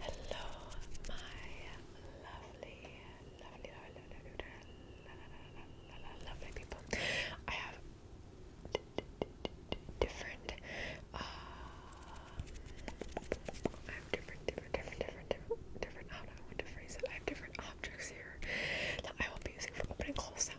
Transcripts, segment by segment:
Hello, my lovely, lovely, lovely, lovely, lovely people. I have different, uh, I have different, different, different, different, different, different. don't know to phrase it. I have different objects here that I will be using for opening close sounds.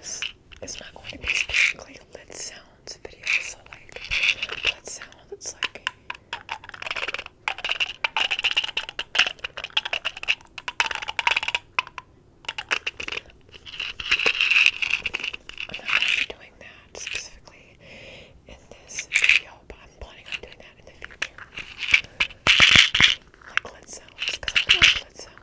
This is not going to be strictly lit sounds video, so like lit sounds, it's like I'm not going to be doing that specifically in this video, but I'm planning on doing that in the future. Like lit sounds, because I lit sounds.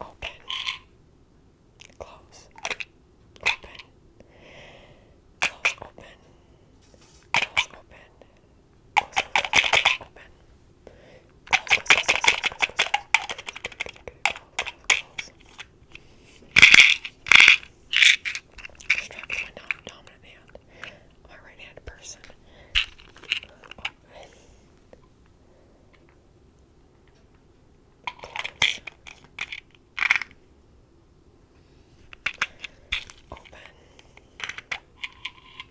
Open. Close. Open. Close open. Close open. Close open. Close open. Close, close, close, close, close, close, close. Distract my dominant hand. My right hand person. Oh. Close. Open. Close. One more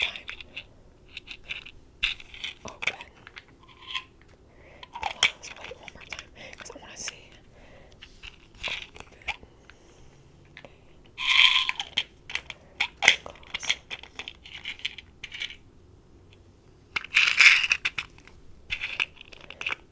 time. Open. Close. Wait, one more time. Because I want to see. Open. Okay. Close.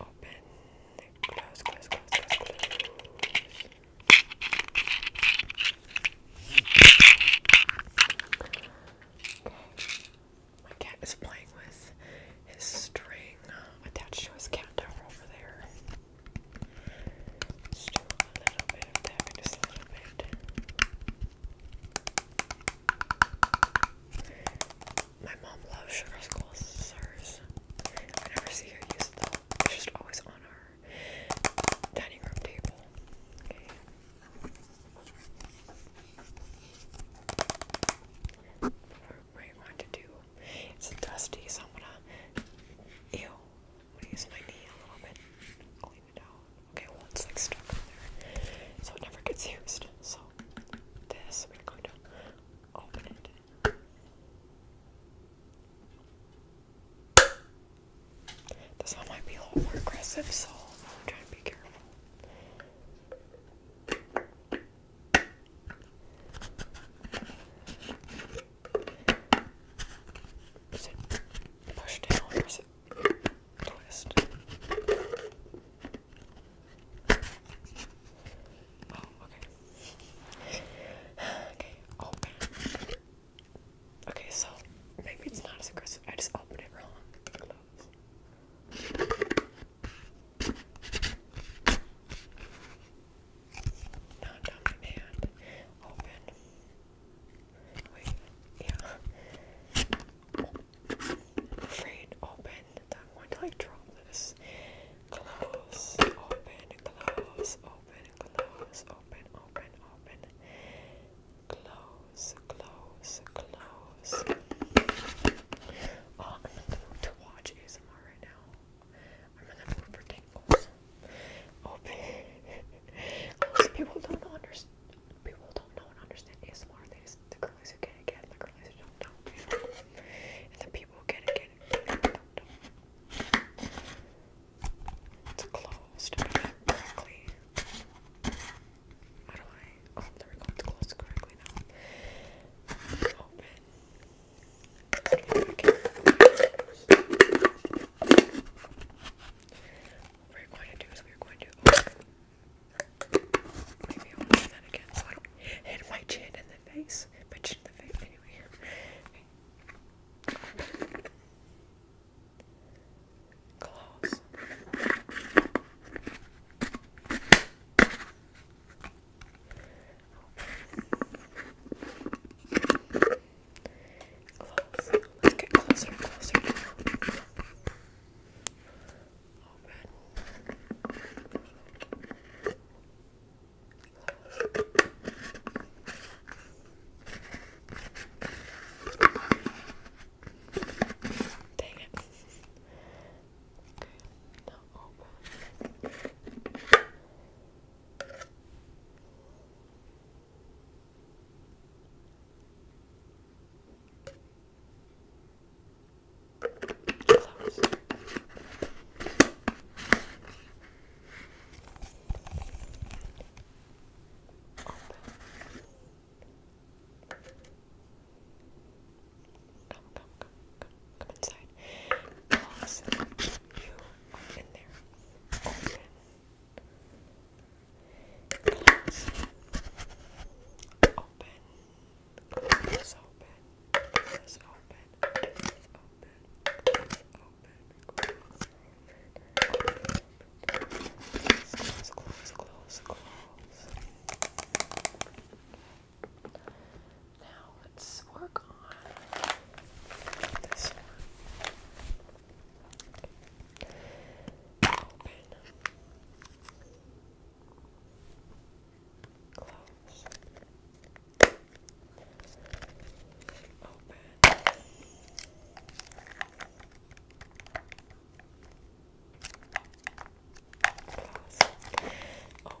Open, close, close, close, close, close. My cat is playing with his string uh, attached to his cat tower over there. String a little bit of that, just a little bit. My mom loves sugar squares. I never see her use it It's just always on our dining room table. Okay. What I want to do. It's dusty, so I'm gonna. Ew use my knee a little bit, clean it out. Okay, well it's like stuck on there, so it never gets used. So this, we're going to open it. This might be a little more aggressive, so I'm trying to be careful push down twist? Oh, okay. okay, open. Okay, so maybe it's not as aggressive. I just opened it wrong. Not dominant hand. Open. Wait, yeah. afraid open I'm going to like drop this. Close, open, close, open, close, open, open, open. Close, close, close. I'm oh, going to watch ASMR right now. I'm in the mood for tingles. Open. Oh, people don't understand. People don't know and understand ASMR. They just, the girlies who get The girlies who don't know. You And the people who get it get it. don't know. It's closed. Correctly. How do I? Oh, there we go. It's closed correctly now. Okay. What we're going to do is we're going to open. Oh, maybe I'll do that again so I don't hit my chin in the face. My chin in the face, anyway. Okay. Claws. Open. Close. Let's get closer and closer Dang it. Okay, now Come, come, come, come, come inside. As you open there. Open. Open. This open. This open. This open. This open. Close, close, close, close. Now let's work on this one. Open. Close. Open. Close. Open.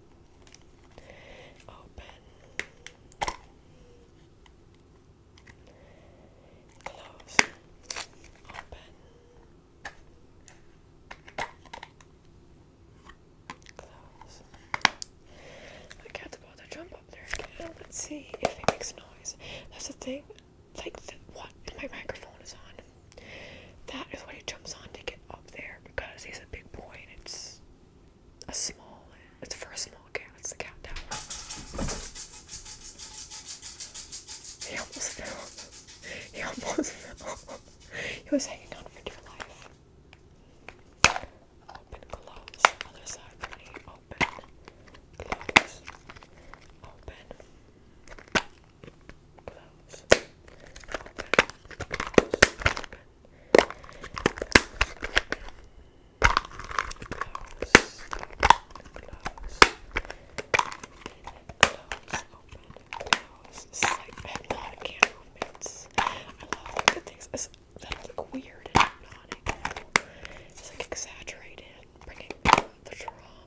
Open. Close. Open. Close. I can about to jump up there again. Let's see if it makes noise. That's the thing. Like what my microphone is on. That is what it jumps on to get up there because he's a big boy it's a small it's for a small cat, it's the cat tower. He almost fell. He almost fell. He was hanging on for dear life. Open, close. Other side, pretty. Open, close. Open, close. I have a lot of movements. I love the things that look weird and hypnotic. It's like exaggerated, bringing the the drama,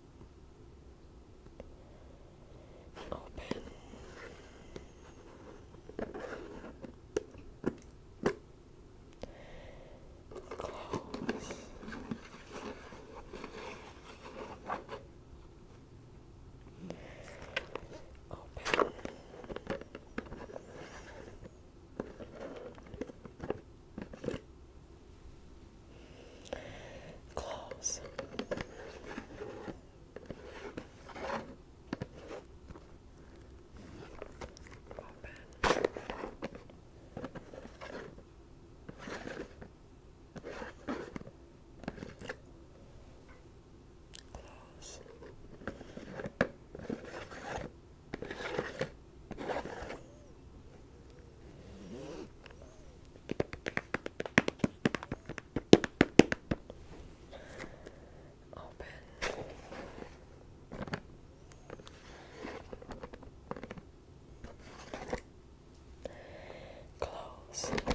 Open. Close. Open. Close. Open. Close. Open. Open. Close. Open.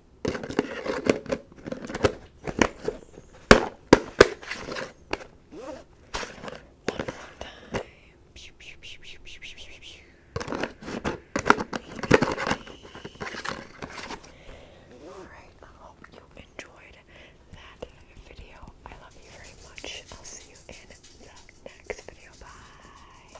One more time. Pew, pew, pew, pew, pew, pew, pew, pew. Alright, I hope you enjoyed that video. I love you very much. I'll see you in the next video. Bye.